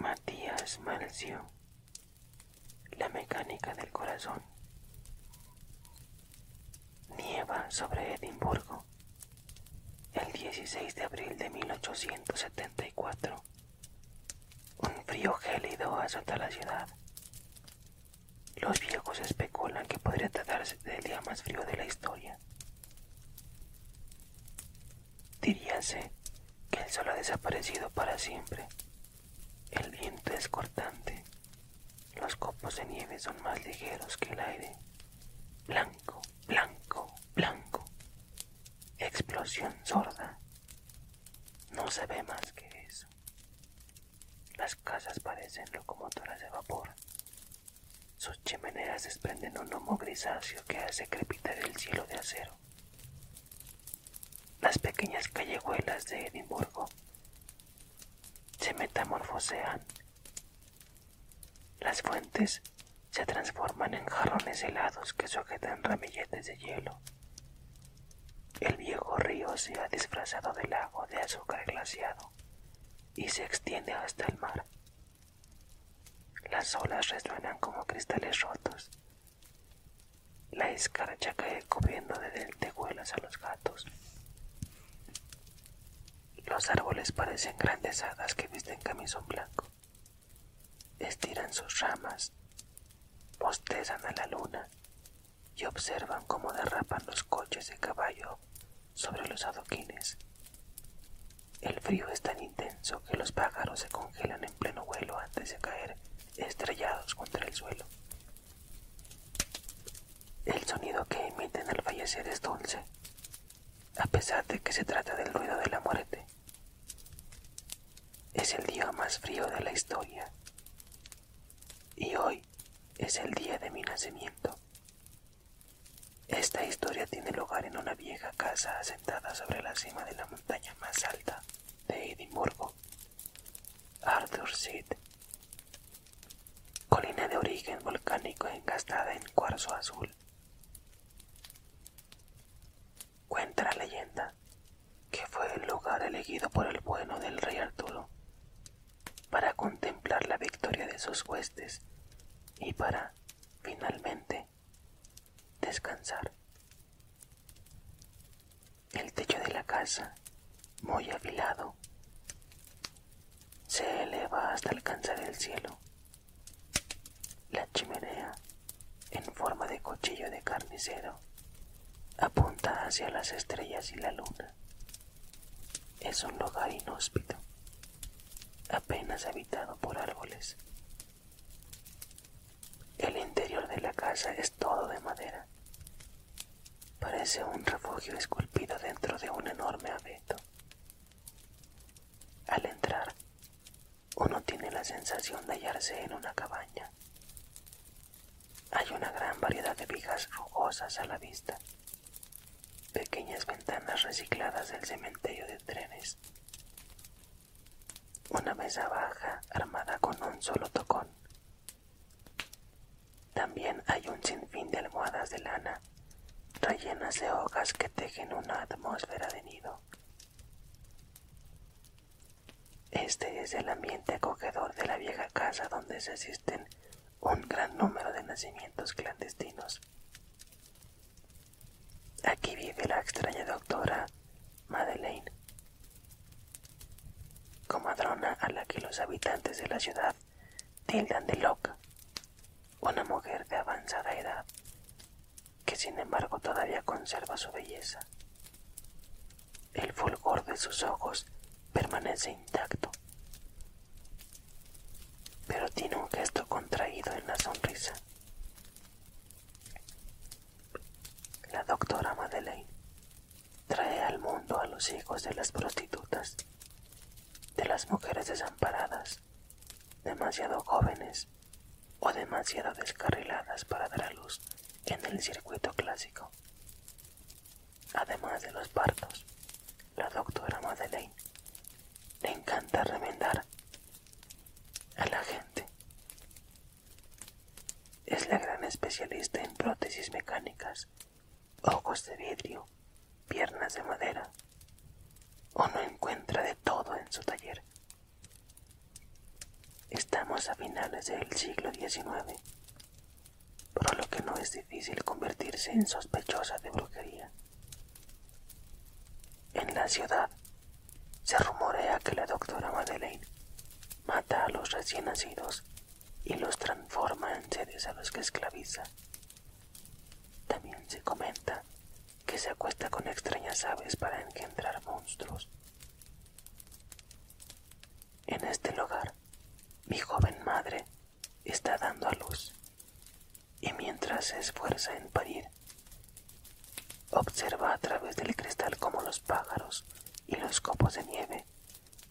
Matías Malcio, la mecánica del corazón. Nieva sobre Edimburgo el 16 de abril de 1874. Un frío gélido azota la ciudad los viejos especulan que podría tratarse del día más frío de la historia. Diríanse que el sol ha desaparecido para siempre. El viento es cortante. Los copos de nieve son más ligeros que el aire. Blanco, blanco, blanco. Explosión sorda. No se ve más que eso. Las casas parecen locomotoras de vapor. Sus chimeneas desprenden un humo grisáceo que hace crepitar el cielo de acero. Las pequeñas callejuelas de Edimburgo se metamorfosean. Las fuentes se transforman en jarrones helados que sujetan ramilletes de hielo. El viejo río se ha disfrazado del lago de azúcar glaciado y se extiende hasta el mar. Las olas resuenan como cristales rotos. La escarcha cae cubriendo de dentejuelas a los gatos. Los árboles parecen grandes hadas que visten camisón blanco. Estiran sus ramas, bostezan a la luna y observan cómo derrapan los coches de caballo sobre los adoquines. El frío es tan intenso que los pájaros se congelan en pleno vuelo antes de caer estrellados contra el suelo. El sonido que emiten al fallecer es dulce, a pesar de que se trata del ruido de la muerte. Es el día más frío de la historia y hoy es el día de mi nacimiento. Esta historia tiene lugar en una vieja casa asentada sobre la cima de la montaña más alta de Edimburgo, Arthur's Seat, colina de origen volcánico engastada en cuarzo azul. Cuenta la leyenda que fue el lugar elegido por el bueno del rey Arturo para contemplar la victoria de sus huestes y para, finalmente, descansar. El techo de la casa, muy afilado, se eleva hasta alcanzar el cielo. La chimenea, en forma de cuchillo de carnicero, apunta hacia las estrellas y la luna. Es un lugar inhóspito, apenas habitado por árboles. El interior de la casa es todo de madera. Parece un refugio esculpido dentro de un enorme abeto. Al entrar, uno tiene la sensación de hallarse en una cabaña. Hay una gran variedad de vigas rugosas a la vista, pequeñas ventanas recicladas del cementerio de trenes, una mesa baja armada con un solo tocón. También hay un sinfín de almohadas de lana rellenas de hojas que tejen una atmósfera de nido. Este es el ambiente acogedor de la vieja casa donde se asisten un gran número de nacimientos clandestinos. Aquí vive la extraña doctora Madeleine, comadrona a la que los habitantes de la ciudad tildan de loca, una mujer de avanzada edad que sin embargo todavía conserva su belleza el fulgor de sus ojos permanece intacto, pero tiene un gesto contraído en la sonrisa. La doctora Madeleine trae al mundo a los hijos de las prostitutas, de las mujeres desamparadas, demasiado jóvenes o demasiado descarriladas para dar a luz en el circuito clásico además de los partos. La doctora Madeleine le encanta remendar a la gente. Es la gran especialista en prótesis mecánicas, ojos de vidrio, piernas de madera. no encuentra de todo en su taller. Estamos a finales del siglo XIX. Por lo que no es difícil convertirse en sospechosa de brujería. En la ciudad se rumorea que la doctora Madeleine mata a los recién nacidos y los transforma en seres a los que esclaviza. También se comenta que se acuesta con extrañas aves para engendrar monstruos. En este lugar, mi joven madre está dando a luz y mientras se esfuerza en parir, observa a través del cristal como los pájaros y los copos de nieve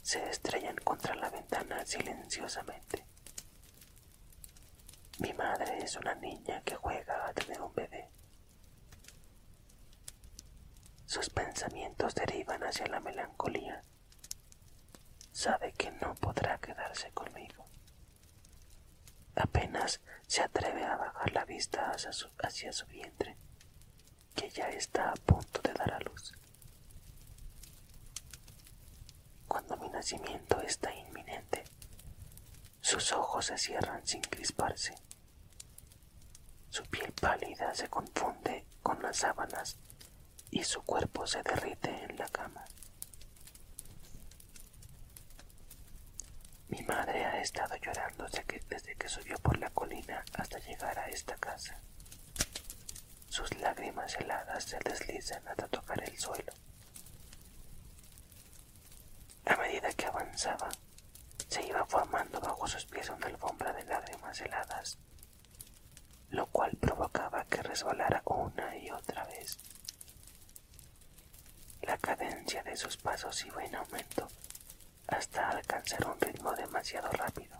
se estrellan contra la ventana silenciosamente. Mi madre es una niña que juega a tener un bebé. Sus pensamientos derivan hacia la melancolía sabe que no podrá quedarse conmigo. Apenas se atreve a bajar la vista hacia su vientre, que ya está a punto de dar a luz. Cuando mi nacimiento está inminente, sus ojos se cierran sin crisparse. Su piel pálida se confunde con las sábanas y su cuerpo se derrite en la cama. Mi madre ha estado llorando desde que subió por la colina hasta llegar a esta casa. Sus lágrimas heladas se deslizan hasta tocar el suelo. A medida que avanzaba, se iba formando bajo sus pies una alfombra de lágrimas heladas lo cual provocaba que resbalara una y otra vez. La cadencia de sus pasos iba en aumento hasta alcanzar un ritmo demasiado rápido.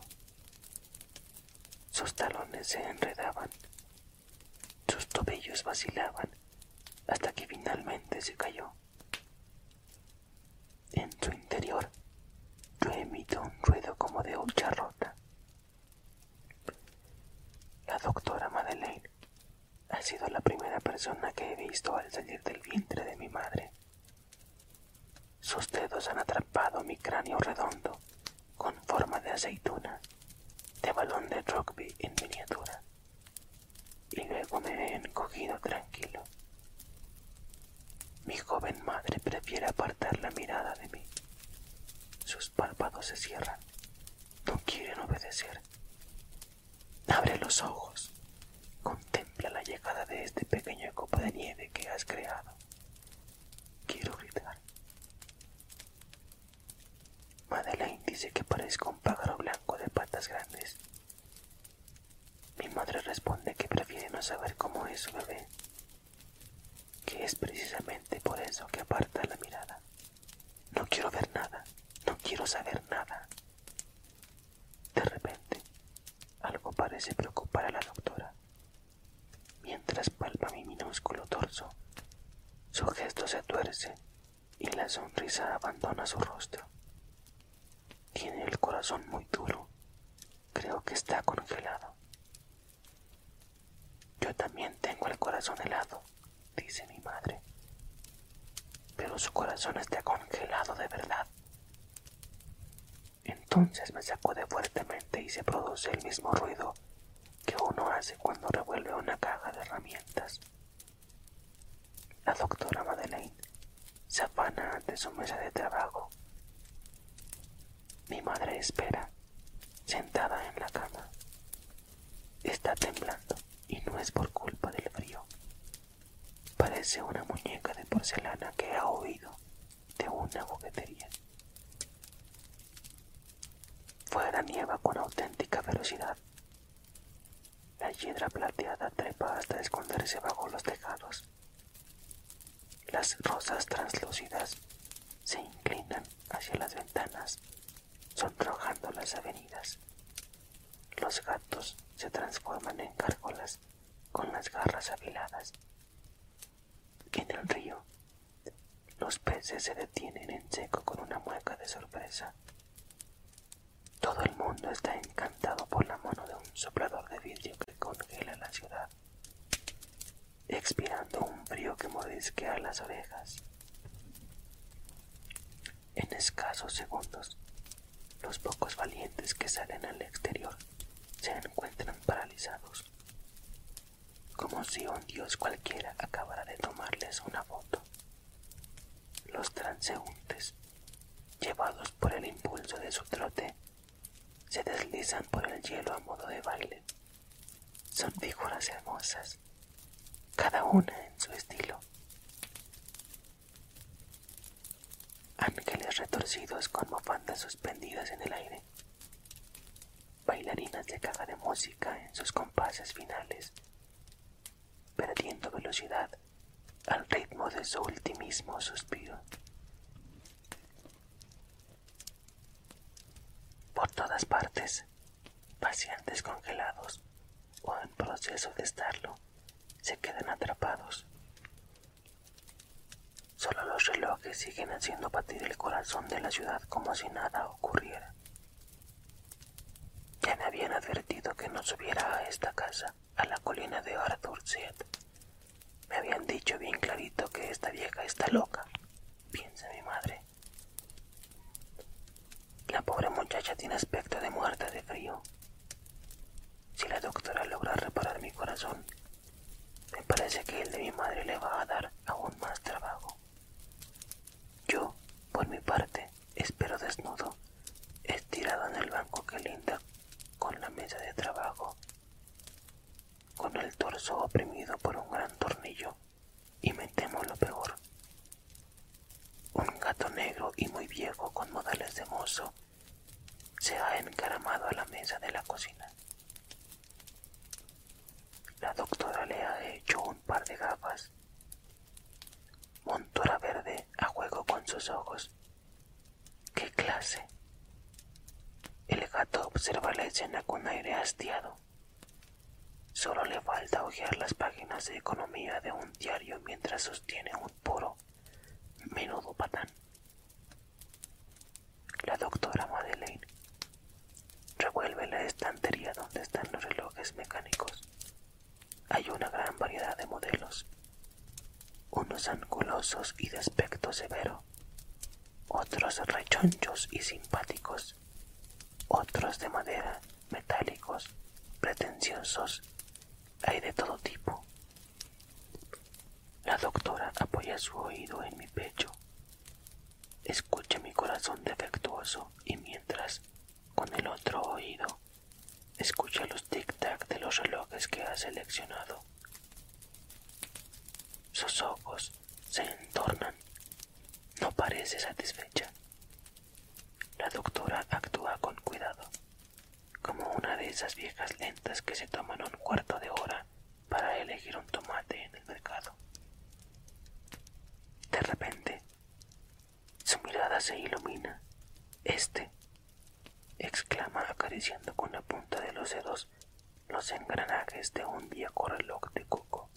Sus talones se enredaban, sus tobillos vacilaban hasta que finalmente se cayó. En su interior, yo emito un ruido como de hucha rota. La doctora Madeleine ha sido la primera persona que he visto al salir del vientre de mi madre. Sus dedos han atrapado mi cráneo redondo con forma de aceituna, de balón de rugby en miniatura, y luego me he encogido tranquilo. Mi joven madre prefiere apartar la mirada de mí. Sus párpados se cierran. No quieren obedecer. Abre los ojos. Contempla la llegada de este pequeño copo de nieve que has creado. Quiero gritar. Madeleine dice que parezco un pájaro blanco de patas grandes. Mi madre responde que prefiere no saber cómo es su bebé que es precisamente por eso que aparta la mirada. No quiero ver nada, no quiero saber nada. De repente, algo parece preocupar a la doctora. Mientras palpa mi minúsculo torso, su gesto se tuerce y la sonrisa abandona su rostro. Tiene el corazón muy duro Creo que está congelado. Yo también tengo el corazón helado, dice mi madre. Pero su corazón está congelado de verdad. Entonces me sacude fuertemente y se produce el mismo ruido que uno hace cuando revuelve una caja de herramientas. La doctora Madeleine se afana ante su mesa de trabajo. Mi madre espera, sentada en la cama. Está temblando y no es por culpa del frío. Parece una muñeca de porcelana que ha oído de una juguetería. Fuera nieva con auténtica velocidad. La hiedra plateada trepa hasta esconderse bajo los tejados. Las rosas translúcidas se inclinan hacia las ventanas, sonrojando las avenidas. Los gatos se transforman en gárgolas con las garras afiladas. En el río, los peces se detienen en seco con una mueca de sorpresa. Todo el mundo está encantado por la mano de un soplador de vidrio que congela la ciudad expirando un frío que mordisquea las orejas. En escasos segundos, los pocos valientes que salen al exterior se encuentran paralizados, como si un dios cualquiera acabara de tomarles una foto. Los transeúntes, llevados por el impulso de su trote, se deslizan por el hielo a modo de baile. Son figuras hermosas, cada una en su estilo. Ángeles retorcidos con mofandas suspendidas en el aire. Bailarinas de caja de música en sus compases finales, perdiendo velocidad al ritmo de su ultimísimo suspiro. Por todas partes, pacientes congelados o en proceso de estarlo se quedan atrapados. Solo los relojes siguen haciendo batir el corazón de la ciudad como si nada ocurriera. Ya me habían advertido que no subiera a esta casa, a la colina de Arthur me habían dicho bien clarito que esta vieja está loca, piensa mi madre. La pobre muchacha tiene aspecto de muerta de frío. Si la doctora logra reparar mi corazón, me parece que el de mi madre le va a dar aún más trabajo. Yo, por mi parte, espero desnudo, estirado en el banco que linda con la mesa de trabajo con el torso oprimido por un gran tornillo, y me temo lo peor. Un gato negro y muy viejo con modales de mozo se ha encaramado a la mesa de la cocina. La doctora le ha hecho un par de gafas, montura verde a juego con sus ojos ¿Qué clase? El gato observa la escena con aire hastiado. Solo le falta hojear las páginas de economía de un diario mientras sostiene un puro Menudo patán. La doctora Madeleine revuelve la estantería donde están los relojes mecánicos. Hay una gran variedad de modelos, unos angulosos y de aspecto severo, otros rechonchos y simpáticos, otros de madera, metálicos, pretenciosos, hay de todo tipo. La doctora apoya su oído en mi pecho, escucha mi corazón defectuoso y mientras, con el otro oído, escucha los tic-tac de los relojes que ha seleccionado sus ojos se entornan. No parece satisfecha. La doctora actúa con cuidado, como una de esas viejas lentas que se toman un cuarto de hora para elegir un tomate en el mercado. De repente, su mirada se ilumina. Este exclama acariciando con la punta de los dedos los engranajes de un viejo reloj de coco.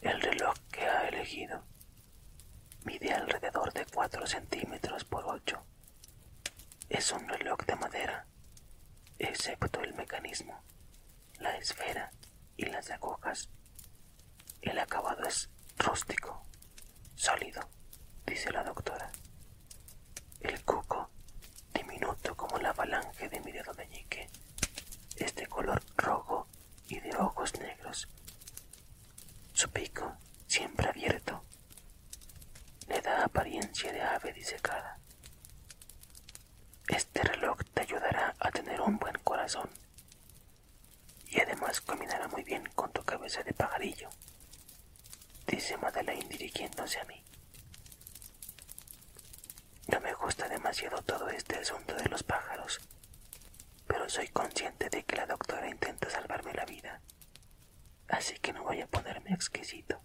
El reloj que ha elegido mide alrededor de 4 centímetros por 8. Es un reloj de madera, excepto el mecanismo, la esfera y las agujas. El acabado es rústico, Sólido, dice la doctora. El cuco, diminuto como la avalanje de mi dedo meñique, es de color rojo y de ojos negros. Su pico, siempre abierto, le da apariencia de ave disecada. Este reloj te ayudará a tener un buen corazón y además combinará muy bien con tu cabeza de pajarillo, dice Madeleine dirigiéndose a mí. No me gusta demasiado todo este asunto de los pájaros, pero soy consciente de que la doctora intenta salvarme la vida, así que no voy a ponerme exquisito.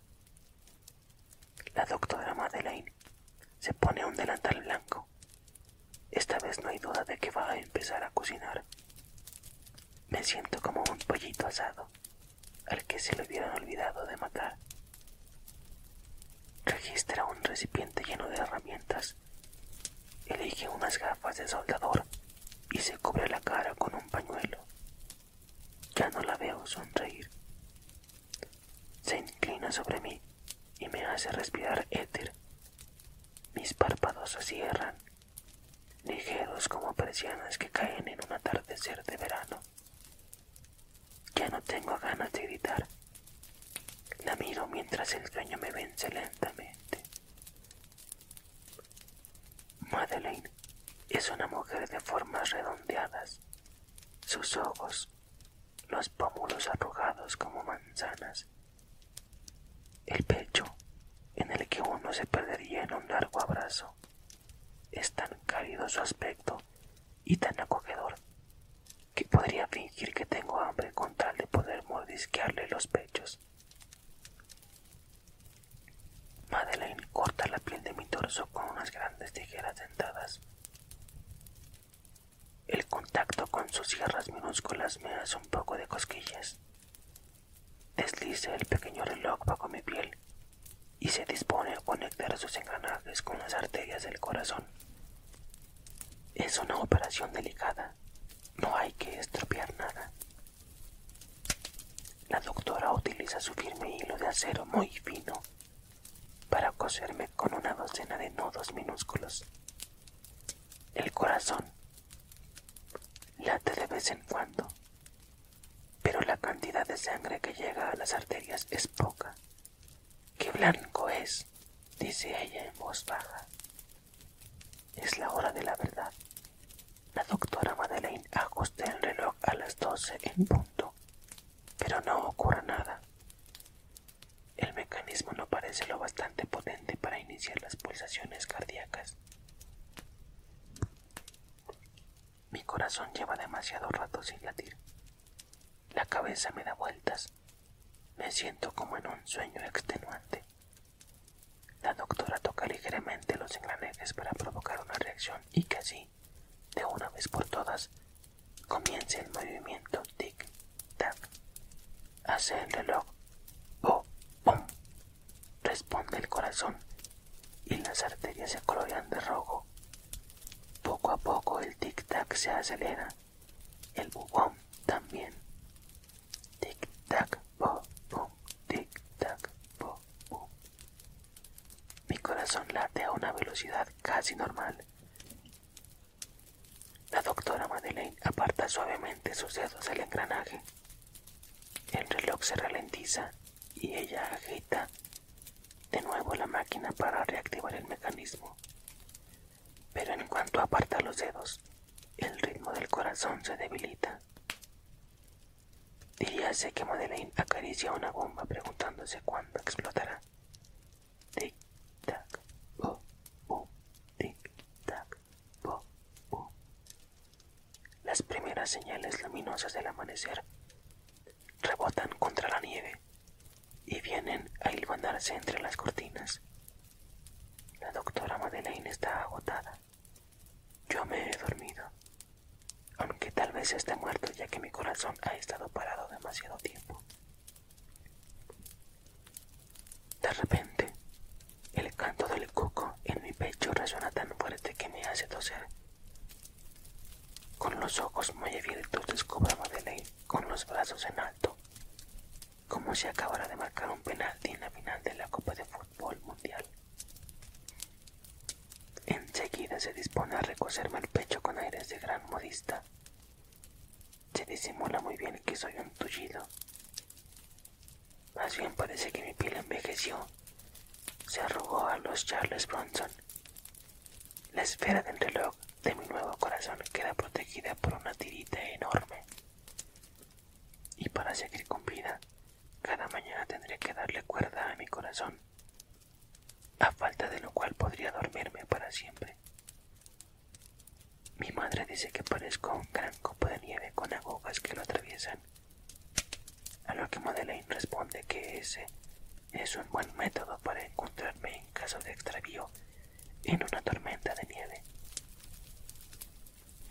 La doctora Madeleine se pone un delantal blanco. Esta vez no hay duda de que va a empezar a cocinar. Me siento como un pollito asado al que se le hubieran olvidado de matar. Registra un recipiente lleno de herramientas. Elige unas gafas de soldador y se cubre la cara con un pañuelo. Ya no la veo sonreír. Se inclina sobre mí y me hace respirar éter. Mis párpados se cierran ligeros como persianas que caen en un atardecer de verano. Ya no tengo ganas de gritar. La miro mientras el sueño me vence lentamente. Madeleine es una mujer de formas redondeadas, sus ojos, los pómulos arrugados como manzanas, el pecho en el que uno se perdería en un largo abrazo. Es tan cálido su aspecto y tan acogedor que podría fingir que tengo hambre con tal de poder mordisquearle los pechos. Madeleine corta la piel de mi torso con unas grandes tijeras dentadas. El contacto con sus sierras minúsculas me hace un poco de cosquillas. Deslice el pequeño reloj bajo mi piel y se dispone a conectar sus engranajes con las arterias del corazón. Es una operación delicada. No hay que estropear nada. La doctora utiliza su firme hilo de acero muy fino para coserme con una docena de nodos minúsculos. El corazón Late de vez en cuando, pero la cantidad de sangre que llega a las arterias es poca. ¡Qué blanco es! dice ella en voz baja. Es la hora de la verdad. La doctora Madeleine ajusta el reloj a las doce en punto, pero no ocurre nada. El mecanismo no parece lo bastante potente para iniciar las pulsaciones cardíacas. Mi corazón lleva demasiado rato sin latir. La cabeza me da vueltas. Me siento como en un sueño extenuante. La doctora toca ligeramente los engranajes para provocar una reacción y que así, de una vez por todas, comience el movimiento tic-tac, hace el reloj. Responde el corazón y las arterias se colorean de rojo. Poco a poco el tic-tac se acelera. El bubón también. Tic-tac, bo, bum, tic-tac, bo, bum. Mi corazón late a una velocidad casi normal. La doctora Madeleine aparta suavemente sus dedos del engranaje. El reloj se ralentiza y ella agita de nuevo la máquina para reactivar el mecanismo. Pero en cuanto aparta los dedos, el ritmo del corazón se debilita. Diríase que Madeleine acaricia una bomba preguntándose cuándo explotará. Tic-tac, bo oh, oh, tic-tac, las primeras señales luminosas del amanecer rebotan contra la nieve y vienen a hilvanarse entre las cortinas. La doctora Madeleine está agotada. Yo me he dormido, aunque tal vez esté muerto ya que mi corazón ha estado parado demasiado tiempo. De repente, el canto del cuco en mi pecho resuena tan fuerte que me hace toser. Con los ojos muy abiertos descubro a Madeleine con los brazos en alto, como si acabara de marcar un penalti en la final de la Copa de Fútbol Mundial. Enseguida se dispone a recocerme el pecho con aires de gran modista. Se disimula muy bien que soy un tullido más bien parece que mi piel envejeció. Se arrugó a los Charles Bronson. La esfera del reloj de mi nuevo corazón queda protegida por una tirita enorme. Y para seguir con vida, cada mañana tendré que darle cuerda a mi corazón, a falta de lo cual podría dormirme para siempre. Mi madre dice que parezco un gran copo de nieve con agujas que lo atraviesan. A lo que Madeleine responde que ese es un buen método para encontrarme en caso de extravío en una tormenta de nieve.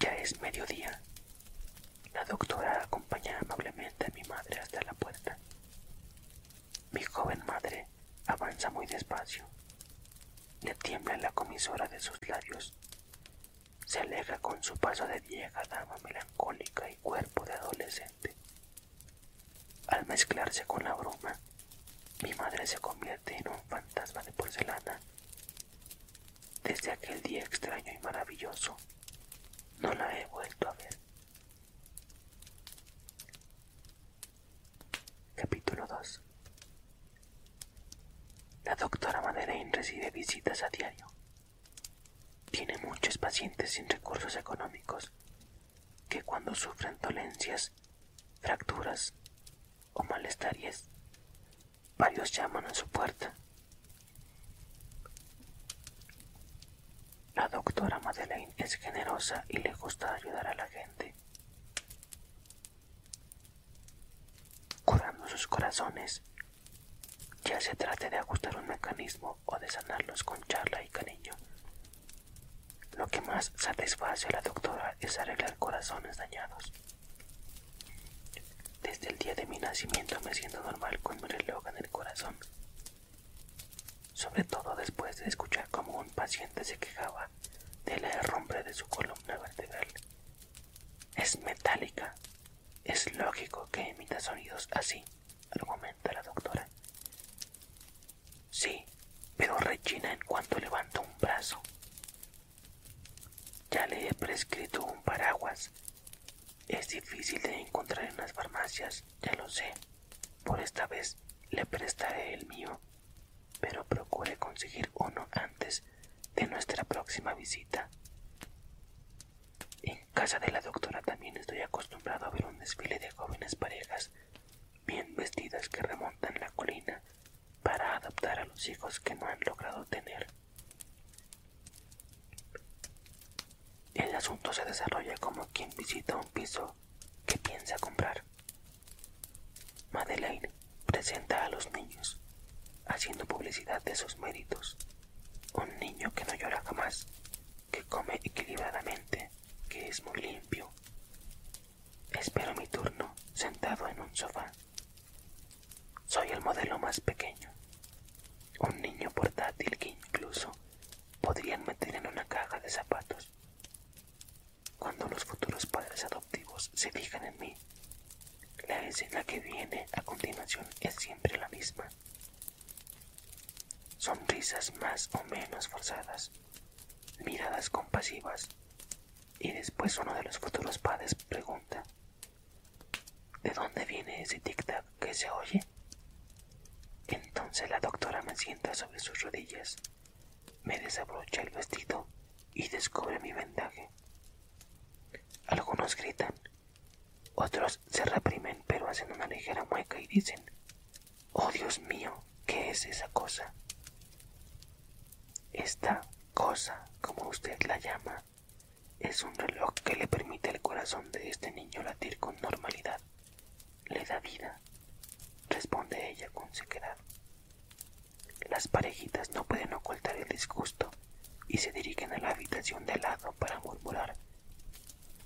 Ya es mediodía. La doctora acompaña amablemente a mi madre hasta la puerta. Mi joven madre avanza muy despacio. Le tiembla la comisora de sus labios se aleja con su paso de vieja dama melancólica y cuerpo de adolescente. Al mezclarse con la bruma, mi madre se convierte en un fantasma de porcelana. Desde aquel día extraño y maravilloso, no la he vuelto a ver. Capítulo 2 la doctora Madeleine recibe visitas a diario. Tiene muchos pacientes sin recursos económicos que cuando sufren dolencias, fracturas o malestares, varios llaman a su puerta. La doctora Madeleine es generosa y le gusta ayudar a la gente. Curando sus corazones, ya se trate de ajustar un mecanismo o de sanarlos con charla y cariño. Lo que más satisface a la doctora es arreglar corazones dañados. Desde el día de mi nacimiento me siento normal con mi reloj en el corazón. Sobre todo después de escuchar cómo un paciente se quejaba de la herrumbre de su columna vertebral. Es metálica. Es lógico que emita sonidos así, argumenta la doctora. Sí, pero rechina en cuanto levanto un brazo. Ya le he prescrito un paraguas. Es difícil de encontrar en las farmacias, ya lo sé. Por esta vez le prestaré el mío, pero procure conseguir uno antes de nuestra próxima visita. En casa de la doctora también estoy acostumbrado a ver un desfile de jóvenes parejas bien vestidas que remontan la colina para adoptar a los hijos que no han logrado tener. El asunto se desarrolla como quien visita un piso que piensa comprar. Madeleine presenta a los niños, haciendo publicidad de sus méritos. Un niño que no llora jamás, que come equilibradamente, que es muy limpio. Espero mi turno sentado en un sofá. Soy el modelo más pequeño. Un niño portátil que incluso podrían meter en una caja de zapatos. Cuando los futuros padres se fijan en mí. La escena que viene a continuación es siempre la misma. Sonrisas más o menos forzadas, miradas compasivas, y después uno de los futuros padres pregunta, ¿de dónde viene ese tic-tac que se oye? Entonces la doctora me sienta sobre sus rodillas, me desabrocha el vestido y descubre mi vendaje. Algunos gritan, otros se reprimen pero hacen una ligera mueca y dicen, Oh Dios mío, ¿qué es esa cosa? Esta cosa, como usted la llama, es un reloj que le permite al corazón de este niño latir con normalidad. Le da vida, responde ella con sequedad. Las parejitas no pueden ocultar el disgusto y se dirigen a la habitación de lado para murmurar,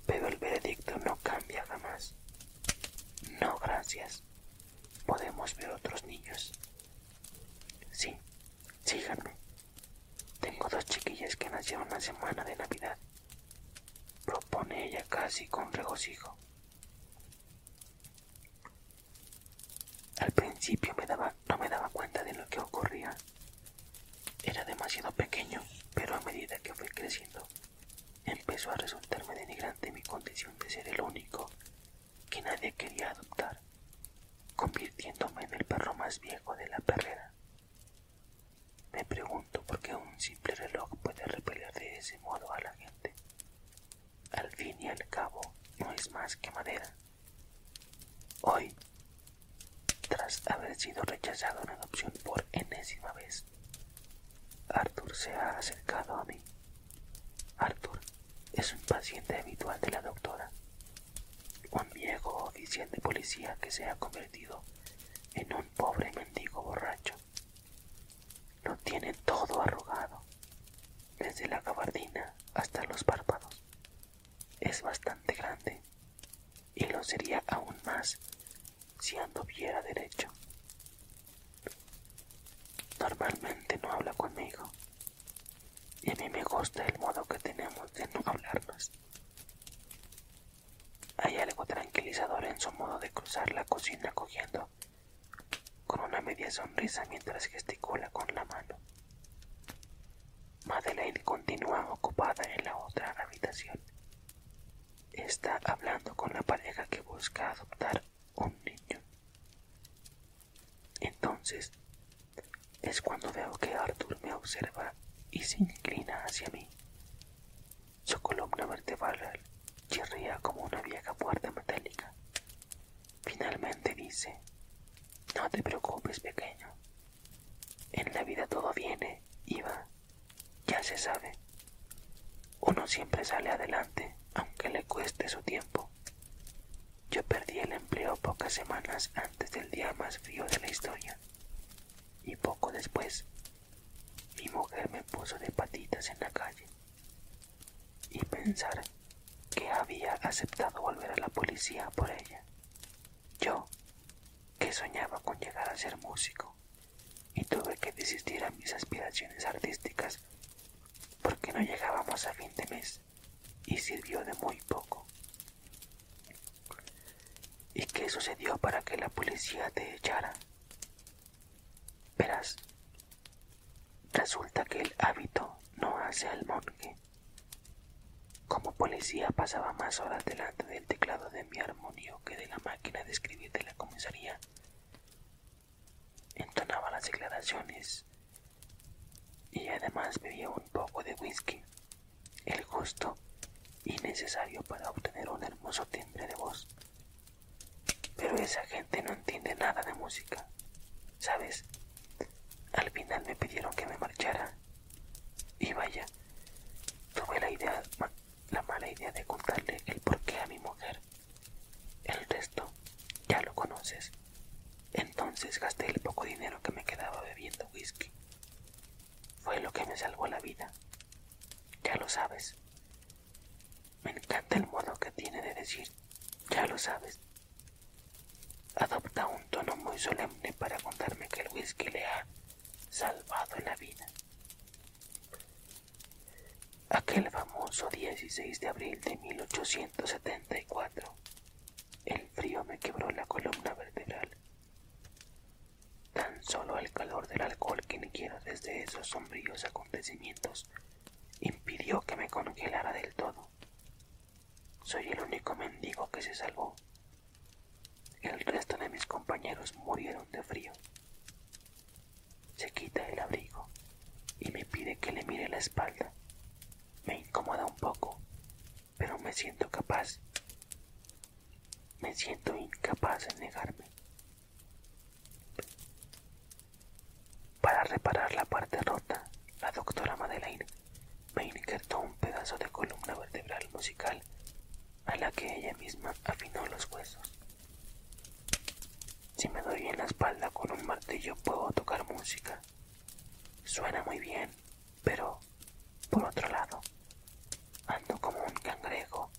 pero el veredicto no cambia jamás. No, gracias. Podemos ver otros niños. Sí, síganme. Tengo dos chiquillas que nacieron la semana de Navidad. Propone ella casi con regocijo. Al principio no me daba cuenta de lo que ocurría. Era demasiado pequeño, pero a medida que fui creciendo, empezó a resultarme denigrante mi condición de ser el único que nadie quería adoptar, convirtiéndome en el perro más viejo de la perrera. Me pregunto por qué un simple reloj puede repeler de ese modo a la gente, al fin y al cabo, no es más que madera. Hoy, tras haber sido rechazado en adopción por enésima vez, Arthur se ha acercado a mí. Arthur es un paciente habitual de la doctora, un viejo oficial de policía que se ha convertido en un pobre mendigo borracho. Lo tiene todo arrugado, desde la gabardina hasta los párpados. Es bastante grande y lo sería aún más si anduviera derecho. Normalmente no habla conmigo y a mí me gusta el modo que tenemos de no hablarnos. Hay algo tranquilizador en su modo de cruzar la cocina cogiendo con una media sonrisa mientras gesticula con la mano. Madeleine continúa ocupada en la otra habitación. Está hablando con la pareja que busca adoptar un niño. Entonces es cuando veo que Arthur me observa y se inclina hacia mí. Su columna vertebral chirría como una vieja puerta metálica. Finalmente dice, no te preocupes pequeño. En la vida todo viene y va, ya se sabe. Uno siempre sale adelante, aunque le cueste su tiempo. Yo perdí el empleo pocas semanas antes del día más frío de la historia. Y poco después, mi mujer me puso de patitas en la calle y pensar que había aceptado volver a la policía por ella. Yo, que soñaba con llegar a ser músico, y tuve que desistir a mis aspiraciones artísticas porque no llegábamos a fin de mes y sirvió de muy poco. ¿Y qué sucedió para que la policía te echara? Verás, Resulta que el hábito no hace al monje. Como policía pasaba más horas delante del teclado de mi armonio que de la máquina de escribir de la comisaría. Entonaba las declaraciones y además bebía un poco de whisky, el gusto y necesario para obtener un hermoso timbre de voz. Pero esa gente no entiende nada de música, ¿sabes? Al final me pidieron que me marchara. Y vaya, tuve la idea, la mala idea de contarle el porqué a mi mujer. El resto ya lo conoces. Entonces gasté el poco dinero que me quedaba bebiendo whisky. Fue lo que me salvó la vida. Ya lo sabes. Me encanta el modo que tiene de decir, ya lo sabes, Adopta un tono muy solemne para contarme que el whisky le ha salvado la vida. Aquel famoso 16 de abril de 1874, el frío me quebró la columna vertebral. Tan solo el calor del alcohol que quiero desde esos sombríos acontecimientos impidió que me congelara del todo. Soy el único mendigo que se salvó. El resto de mis compañeros murieron de frío. Se quita el abrigo y me pide que le mire la espalda. Me incomoda un poco, pero me siento capaz. Me siento incapaz de negarme. Para reparar la parte rota, la doctora Madeleine me injertó un pedazo de columna vertebral musical a la que ella misma afinó los huesos. Si me doy en la espalda con un martillo puedo tocar música. Suena muy bien, pero, por otro lado, ando como un cangrejo.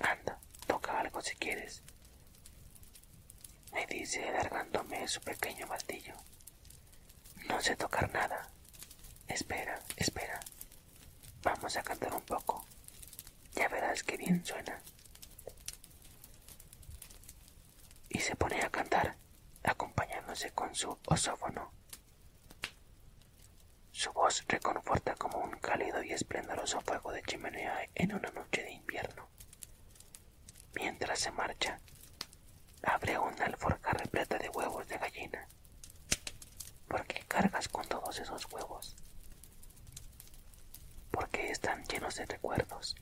Anda, toca algo si quieres me dice alargándome su pequeño baldillo. No sé tocar nada. Espera, espera. Vamos a cantar un poco. Ya verás qué bien suena. Y se pone a cantar, acompañándose con su osófono. Su voz reconforta como un cálido y esplendoroso fuego de chimenea en una noche de invierno. Mientras se marcha, abre una alforja repleta de huevos de gallina. ¿Por qué cargas con todos esos huevos? Porque están llenos de recuerdos.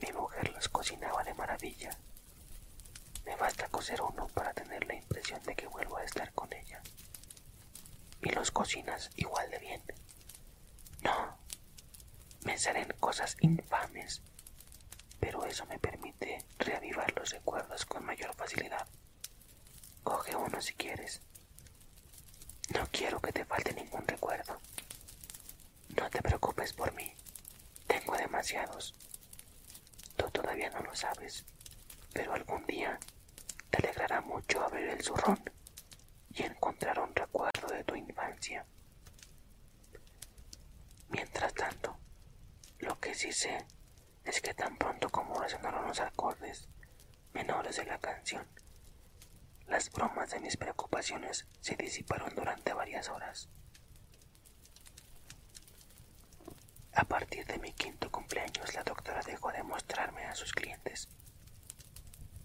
Mi mujer los cocinaba de maravilla. Me basta cocer uno para tener la impresión de que vuelvo a estar con ella. Y los cocinas igual de bien. No, me salen cosas infames, pero eso me permite reavivar los recuerdos con mayor facilidad. Coge uno si quieres. No quiero que te falte ningún recuerdo. No te preocupes por mí. Tengo demasiados. Tú todavía no lo sabes, pero algún día te alegrará mucho abrir el zurrón y encontrar un recuerdo de tu infancia. Mientras tanto, lo que sí sé es que tan pronto como resonaron los acordes menores de la canción, las bromas de mis preocupaciones se disiparon durante varias horas. A partir de mi quinto cumpleaños, la doctora dejó de mostrarme a sus clientes.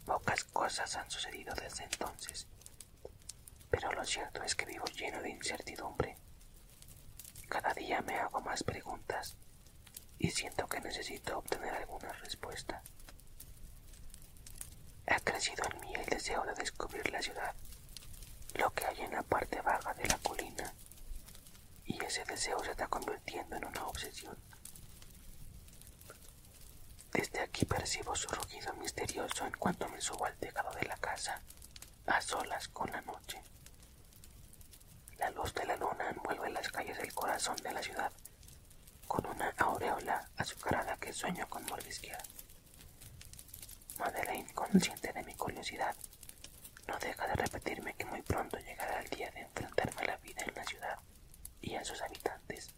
Pocas cosas han sucedido desde entonces pero lo cierto es que vivo lleno de incertidumbre. Cada día me hago más preguntas y siento que necesito obtener alguna respuesta. Ha crecido en mí el deseo de descubrir la ciudad, lo que hay en la parte baja de la colina, y ese deseo se está convirtiendo en una obsesión. Desde aquí percibo su rugido misterioso en cuanto me subo al tejado de la casa, a solas con la noche. La luz de la luna envuelve las calles del corazón de la ciudad con una aureola azucarada que sueño con mordisquear. Madeleine, consciente de mi curiosidad, no deja de repetirme que muy pronto llegará el día de enfrentarme a la vida en la ciudad y a sus habitantes.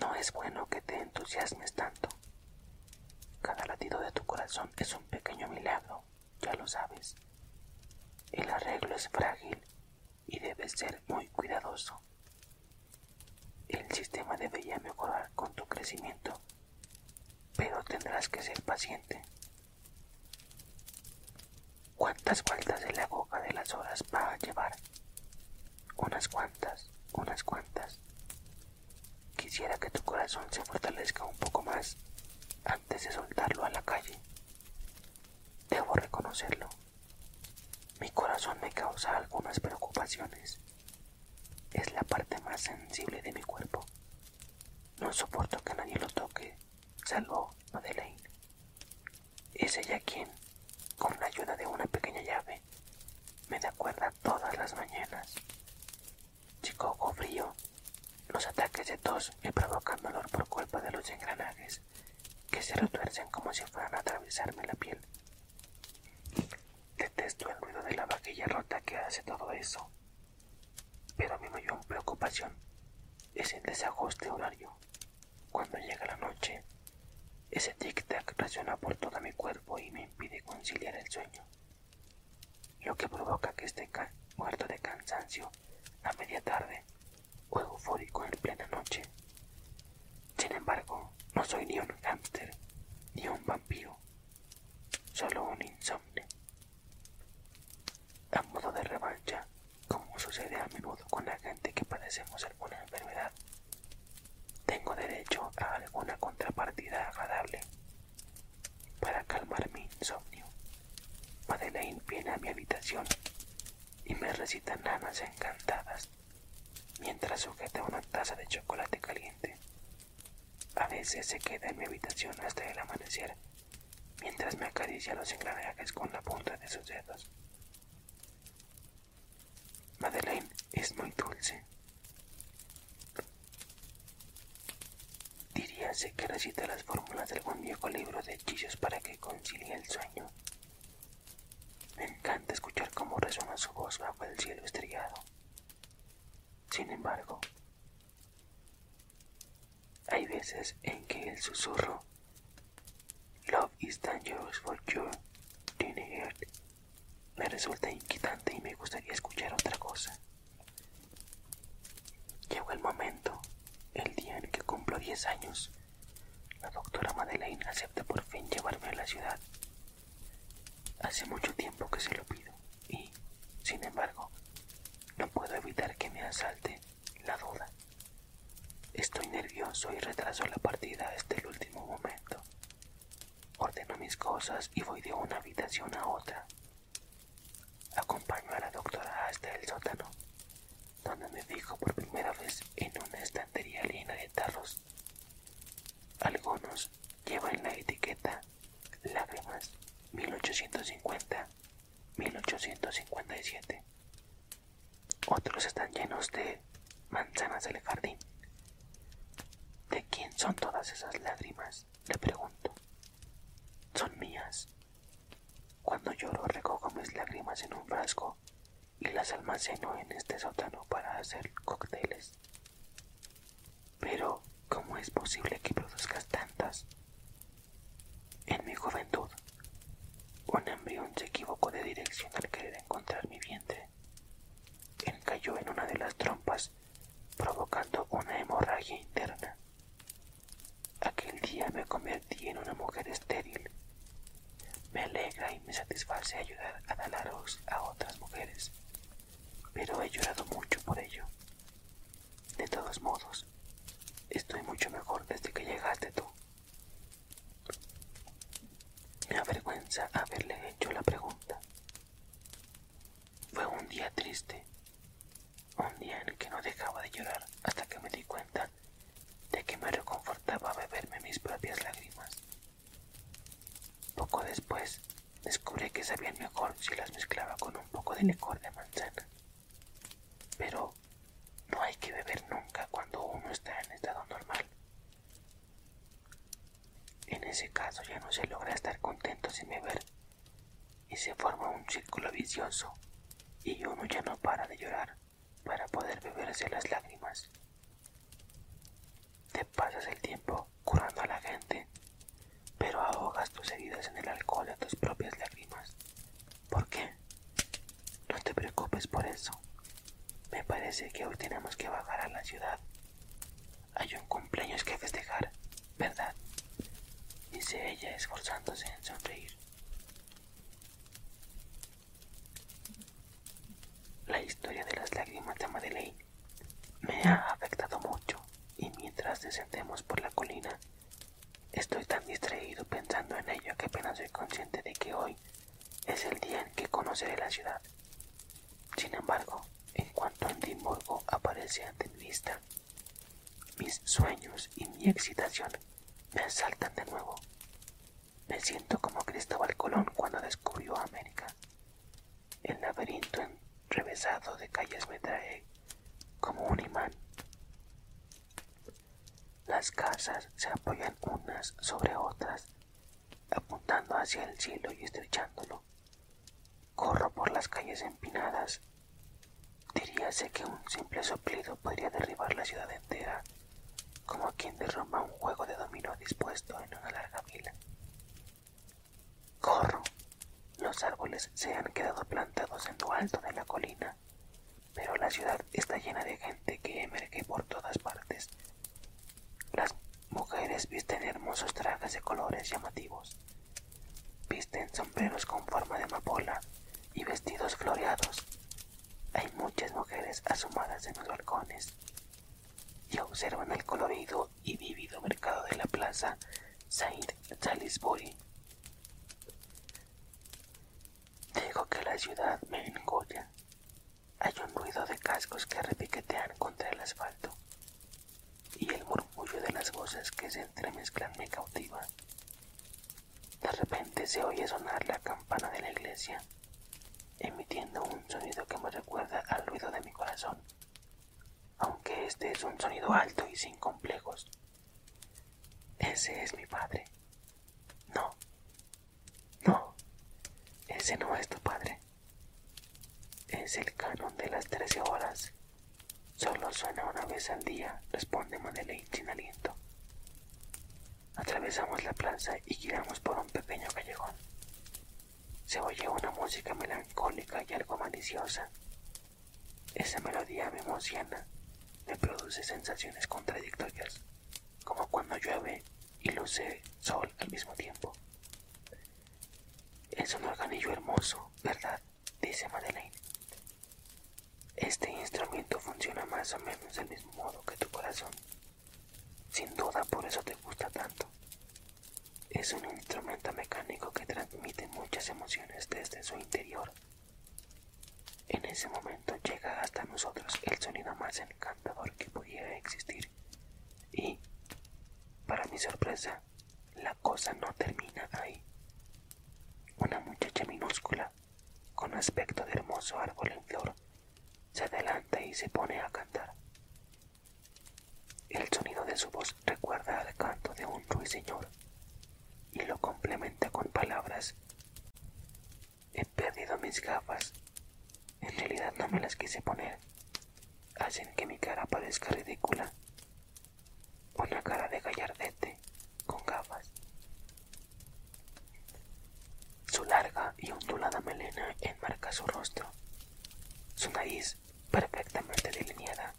No es bueno que te entusiasmes tanto. Cada latido de tu corazón es un pequeño milagro, ya lo sabes. El arreglo es frágil y debes ser muy cuidadoso. El sistema debería mejorar con tu crecimiento, pero tendrás que ser paciente. ¿Cuántas vueltas de la boca de las horas va a llevar? Unas cuantas, unas cuantas. Quisiera que tu corazón se fortalezca un poco más antes de soltarlo a la calle. Debo reconocerlo. Mi corazón me causa algunas preocupaciones. Es la parte más sensible de mi cuerpo. No soporto que nadie lo toque, salvo Madeleine. Es ella quien, con la ayuda de una pequeña llave, me da cuerda todas las mañanas. Chico frío, los ataques de tos me provocan dolor por culpa de los engranajes que se retuercen como si fueran a atravesarme la piel. Detesto el ruido de la vaquilla rota que hace todo eso, pero mi mayor preocupación es el desajuste horario. Cuando llega la noche, ese tic-tac resuena por todo mi cuerpo y me impide conciliar el sueño, lo que provoca que esté muerto de cansancio a media tarde o eufórico en plena noche. Sin embargo, no soy ni un hámster ni un vampiro, solo un insomne. A modo de revancha, como sucede a menudo con la gente que padecemos alguna enfermedad. Tengo derecho a alguna contrapartida agradable para calmar mi insomnio. Madeleine viene a mi habitación y me recita nanas encantadas mientras sujeta una taza de chocolate caliente. A veces se queda en mi habitación hasta el amanecer mientras me acaricia los engranajes con la punta de sus dedos. Madeleine es muy dulce. Diríase que recita las fórmulas de algún viejo libro de hechizos para que concilie el sueño. Me encanta escuchar cómo resuena su voz bajo el cielo estrellado. Sin embargo, hay veces en que el susurro Love is dangerous for Me resulta inquietante y me gustaría escuchar otra cosa. Llegó el momento, el día en que cumplo 10 años. La doctora Madeleine acepta por fin llevarme a la ciudad. Hace mucho tiempo que se lo pido y, sin embargo, no puedo evitar que me asalte la duda. Estoy nervioso y retraso la partida hasta el último momento. Ordeno mis cosas y voy de una habitación a otra. Acompaño a la doctora hasta el sótano, donde me fijo por primera vez en una estantería llena de tarros. Algunos llevan la etiqueta Lágrimas 1850-1857 otros están llenos de manzanas del jardín. ¿De quién son todas esas lágrimas? Le pregunto. Son mías. Cuando lloro recojo mis lágrimas en un frasco y las almaceno en este sótano para hacer cócteles. Pero, ¿cómo es posible que produzcas tantas? En mi juventud un embrión se equivocó de dirección al querer encontrar mi vientre. cayó en una de las trompas, provocando una hemorragia interna. Aquel día me convertí en una mujer estéril. Me alegra y me satisface ayudar a dar a a otras mujeres, pero he llorado mucho por ello. De todos modos, estoy mucho mejor desde que llegaste tú. Me avergüenza haberle hecho la pregunta. Fue un día triste, un día en que no dejaba de llorar hasta que me di cuenta de que me reconfortaba beberme mis propias lágrimas. Poco después descubrí que sabía mejor si las mezclaba con un poco de licor de manzana. Pero no hay que beber nunca cuando uno está en estado normal. En ese caso ya no se logra estar contento sin beber y se forma un círculo vicioso y uno ya no para de llorar para poder beber beberse las lágrimas. Te pasas el tiempo curando a la gente, pero ahogas tus heridas en el alcohol a tus propias lágrimas ¿Por qué? No te preocupes por eso. Me parece que hoy tenemos que bajar a la ciudad. Hay un cumpleaños que festejar, ¿verdad? Dice ella esforzándose en sonreír. La historia de las lágrimas de Madeleine me ha afectado mucho y mientras descendemos por la colina, estoy tan distraído pensando en ello que apenas soy consciente de que hoy es el día en que conoceré la ciudad. Sin embargo, en cuanto a aparece ante mi vista, mis sueños y mi excitación me saltan de nuevo. Me siento como Cristóbal Colón cuando descubrió América. El laberinto enrevesado de calles me trae como un imán. Las casas se apoyan unas sobre otras, apuntando hacia el cielo y estrechándolo. Corro por las calles empinadas. Diríase que un simple soplido podría derribar la ciudad entera, como quien derrumba un juego de dominó dispuesto en una larga vila. Corro. Los árboles se han quedado plantados en lo alto de la colina pero la ciudad está llena de gente que emerge por todas partes. Las mujeres visten hermosos trajes de colores llamativos, visten sombreros con forma de amapola y vestidos floreados. Hay muchas mujeres asomadas en los balcones y observan el colorido y vívido mercado de la plaza Saint Salisbury. Digo que la ciudad me engolla. Hay un ruido de cascos que repiquetean contra el asfalto y el murmullo de las voces que se entremezclan me cautiva. De repente se oye sonar la campana de la iglesia, emitiendo un sonido que me recuerda al ruido de mi corazón, aunque este es un sonido alto y sin complejos. Ese es mi padre. No, no, ese no es tu padre. Es el canon de las trece horas. Solo suena una vez al día, responde Madeleine sin aliento. Atravesamos la plaza y giramos por un pequeño callejón. Se oye una música melancólica y algo maliciosa. Esa melodía me emociona, me produce sensaciones contradictorias como cuando llueve y luce sol al mismo tiempo. Es un organillo hermoso, ¿verdad? dice Madeleine. Este instrumento funciona más o menos del mismo modo que tu corazón. Sin duda por eso te gusta tanto. Es un instrumento mecánico que transmite muchas emociones desde su interior en ese momento llega hasta nosotros el sonido más encantador que pudiera existir. Y, para mi sorpresa, la cosa no termina ahí. Una muchacha minúscula, con aspecto de hermoso árbol en flor, se adelanta y se pone a cantar. El sonido de su voz recuerda al canto de un ruiseñor y lo complementa con palabras He perdido mis gafas. En realidad no me las quise poner. Hacen que mi cara parezca ridícula. Una cara de gallardete con gafas. Su larga y ondulada melena enmarca su rostro. Su nariz, perfectamente delineada,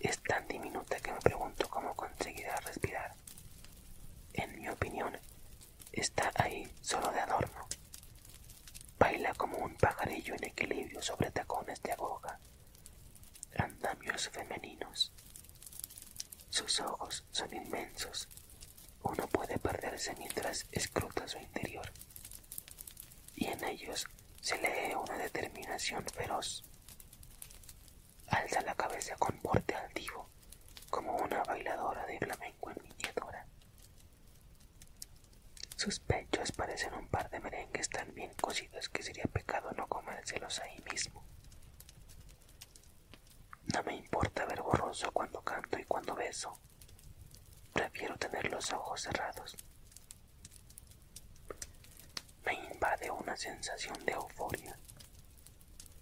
es tan diminuta que me pregunto cómo conseguirá respirar. En mi opinión, Está ahí solo de adorno. Baila como un pajarillo en equilibrio sobre tacones de aboga. andamios femeninos. Sus ojos son inmensos. Uno puede perderse mientras escruta su interior. Y en ellos se lee una determinación feroz. Alza la cabeza con porte altivo, como una bailadora de flamenco en miniatura. Sus pechos parecen un par de merengues tan bien cocidos que sería pecado no comérselos ahí mismo. No me importa ver borroso cuando canto y cuando beso. Prefiero tener los ojos cerrados. Me invade una sensación de euforia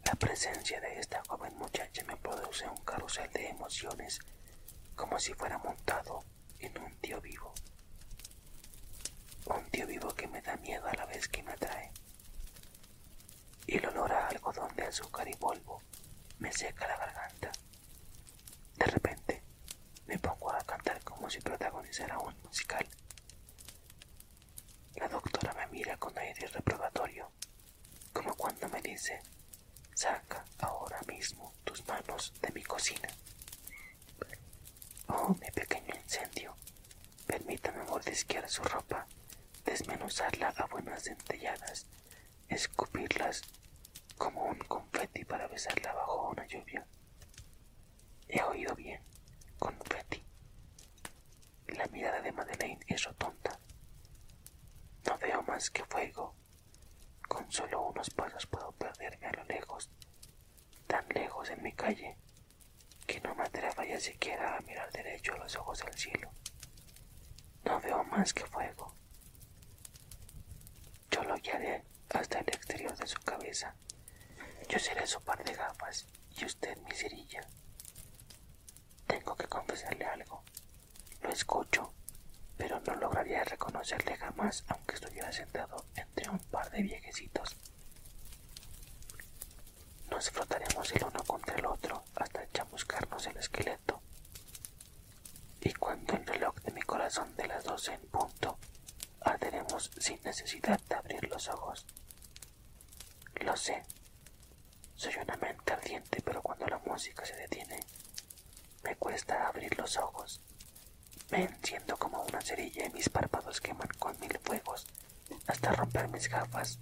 la presencia de esta joven muchacha me produce un carrusel de emociones como si fuera montado en un tío vivo. Un tío vivo que me da miedo a la vez que me atrae. Y el olor a algodón de azúcar y polvo me seca la garganta. De repente me pongo a cantar como si protagonizara un musical. La doctora me mira con aire reprobatorio como cuando me dice, saca ahora mismo tus manos de mi cocina. Oh, mi pequeño incendio, permítame mordisquear su ropa, desmenuzarla a buenas centelladas, escupirlas como un confeti para besarla bajo una lluvia. He oído bien, confeti. La mirada de Madeleine es rotonda. No veo más que fuego. Con solo unos pasos puedo perderme a lo lejos, tan lejos en mi calle, que no me atrevo ya siquiera a mirar derecho los ojos al cielo. No veo más que fuego. Yo lo guiaré hasta el exterior de su cabeza. Yo seré su par de gafas y usted mi cerilla. Tengo que confesarle algo. Lo escucho, pero no lograría reconocerle jamás aunque estuviera sentado entre un par de viejecitos. Nos frotaremos el uno contra el otro hasta chamuscarnos el esqueleto. Y cuando el reloj de mi corazón de las doce en punto, arderemos sin necesidad de abrir los ojos. Lo sé. Soy una mente ardiente, pero cuando la música se detiene, me cuesta abrir los ojos. Me enciendo como una cerilla y mis párpados queman con mil fuegos hasta romper mis gafas,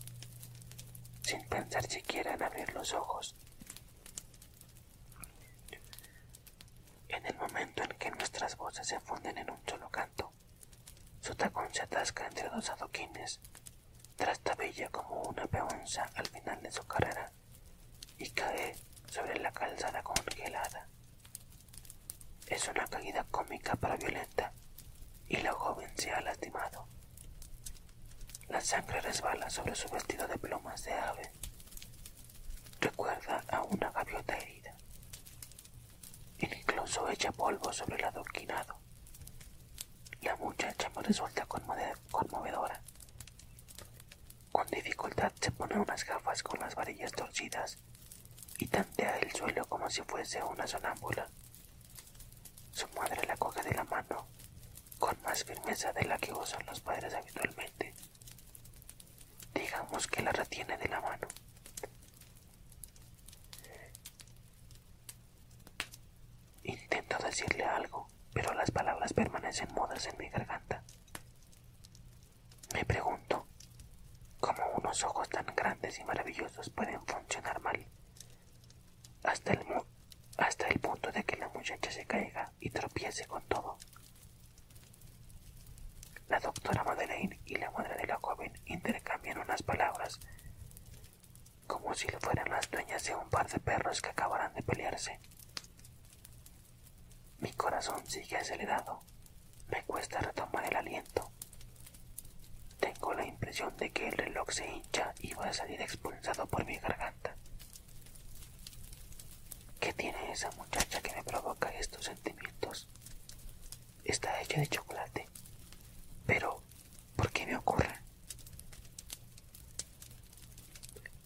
sin pensar siquiera en abrir los ojos. En el momento en que nuestras voces se funden en un solo canto, su tacón se atasca entre dos adoquines, tabella como una peonza al final de su carrera y cae sobre la calzada congelada. Es una caída cómica para Violeta, y la joven se ha lastimado. La sangre resbala sobre su vestido de plumas de ave. Recuerda a una gaviota herida. Incluso echa polvo sobre el adoquinado. La muchacha me pues resulta conmovedora. Con dificultad se pone unas gafas con las varillas torcidas y tantea el suelo como si fuese una sonámbula. Su madre la coge de la mano con más firmeza de la que usan los padres habitualmente. Digamos que la retiene de la mano. Intento decirle algo, pero las palabras permanecen mudas en mi garganta. Me pregunto cómo unos ojos tan grandes y maravillosos pueden funcionar mal, hasta el, punto de que la muchacha se caiga y tropiece con todo. La doctora Madeleine y la madre de la joven intercambian unas palabras como si le fueran las dueñas de un par de perros que acabaran de pelearse. Mi corazón sigue acelerado, me cuesta retomar el aliento. Tengo la impresión de que el reloj se hincha y va a salir expulsado por mi garganta. ¿Qué tiene esa muchacha que me provoca estos sentimientos? Está hecha de chocolate, pero por qué me ocurre.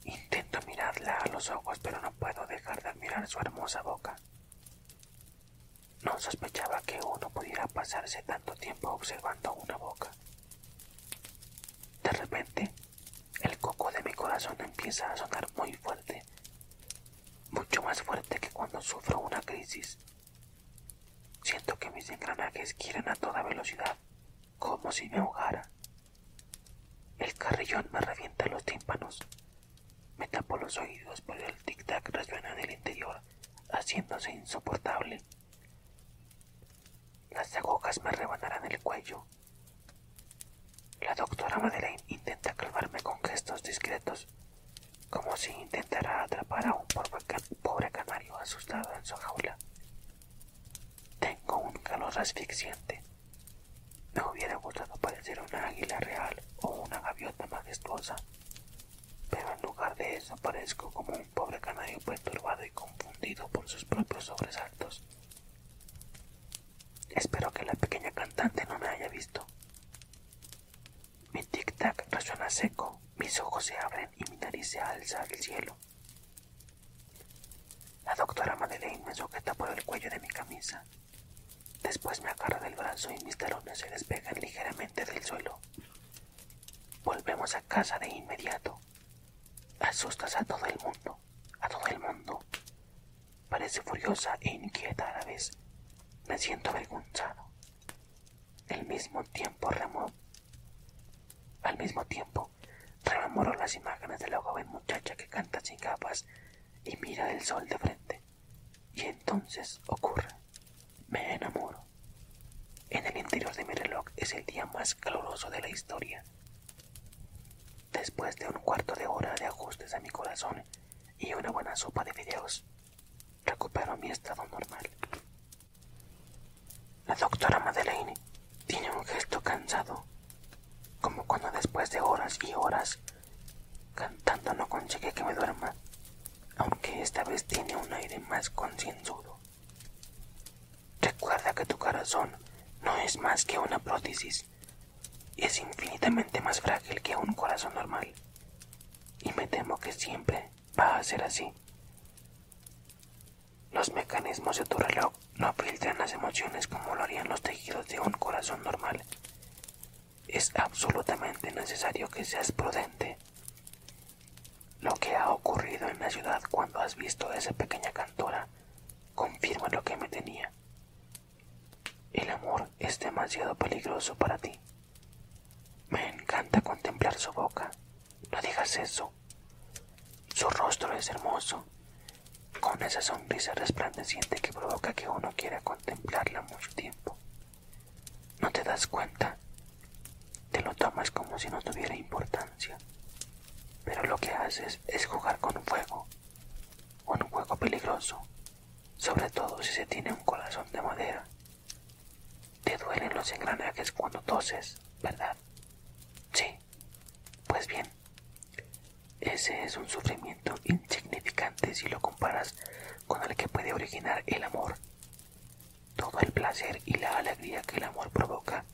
Intento mirarla a los ojos, pero no puedo dejar de admirar su hermosa boca. No sospechaba que uno pudiera pasarse tanto tiempo observando una boca. De repente, el coco de mi corazón empieza a sonar muy fuerte, mucho más fuerte que cuando sufro una crisis. Siento que mis engranajes giran a toda velocidad, como si me ahogara. El carrillón me revienta los tímpanos. Me tapo los oídos, pero el tic-tac resuena en el interior, haciéndose insoportable. Las agujas me rebanarán el cuello. La doctora Madeleine intenta calmarme con gestos discretos, como si intentara atrapar a un pobre canario asustado en su jaula. Tengo un calor asfixiante. Me hubiera gustado parecer una águila real o una gaviota majestuosa, pero en lugar de eso parezco como un pobre canario perturbado y confundido por sus propios sobresaltos. Espero que la pequeña cantante no me haya visto. Mi tic-tac resuena seco, mis ojos se abren y mi nariz se alza al cielo. La doctora Madeleine me sujeta por el cuello de mi camisa. Después me agarra del brazo y mis talones se despegan ligeramente del suelo. Volvemos a casa de inmediato. Asustas a todo el mundo, a todo el mundo. Parece furiosa e inquieta a la vez. Me siento avergonzado. El mismo tiempo remó. Al mismo tiempo, rememoró las imágenes de la joven muchacha que canta sin capas y mira el sol de frente. Y entonces ocurre. Me enamoro. En el interior de mi reloj es el día más caluroso de la historia. Después de un cuarto de hora de ajustes a mi corazón y una buena sopa de videos, recupero mi estado normal. La doctora Madeleine tiene un gesto cansado, como cuando después de horas y horas cantando no consigue que me duerma, aunque esta vez tiene un aire más concienzudo. Recuerda que tu corazón no es más que una prótesis, es infinitamente más frágil que un corazón normal, y me temo que siempre va a ser así. Los mecanismos de tu reloj no filtran las emociones como lo harían los tejidos de un corazón normal. Es absolutamente necesario que seas prudente. Lo que ha ocurrido en la ciudad cuando has visto a esa pequeña cantora confirma lo que me tenía. El amor es demasiado peligroso para ti. Me encanta contemplar su boca. No digas eso. Su rostro es hermoso, con esa sonrisa resplandeciente que provoca que uno quiera contemplarla mucho tiempo. No te das cuenta. Te lo tomas como si no tuviera importancia. Pero lo que haces es jugar con un fuego. con Un juego peligroso, sobre todo si se tiene un corazón de madera. Te duelen los engranajes cuando toses, ¿verdad? Sí. Pues bien, ese es un sufrimiento insignificante si lo comparas con el que puede originar el amor. Todo el placer y la alegría que el amor provoca,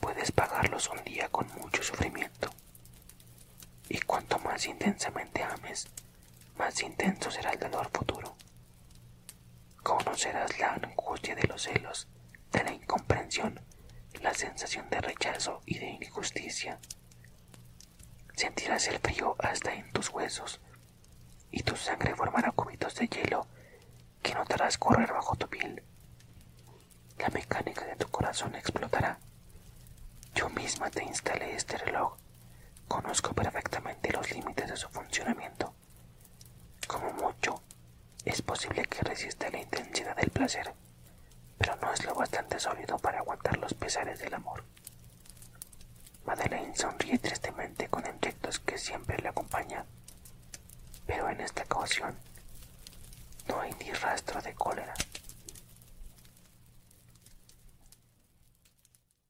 puedes pagarlos un día con mucho sufrimiento. Y cuanto más intensamente ames, más intenso será el dolor futuro. Conocerás la angustia de los celos, de la incomprensión, la sensación de rechazo y de injusticia. Sentirás el frío hasta en tus huesos, y tu sangre formará cubitos de hielo que notarás correr bajo tu piel. La mecánica de tu corazón explotará. Yo misma te instalé este reloj Conozco perfectamente los límites de su funcionamiento. Como mucho, es posible que resista la intensidad del placer, pero no es lo bastante sólido para aguantar los pesares del amor. Madeleine sonríe tristemente con efectos que siempre le acompañan, pero en esta ocasión no hay ni rastro de cólera.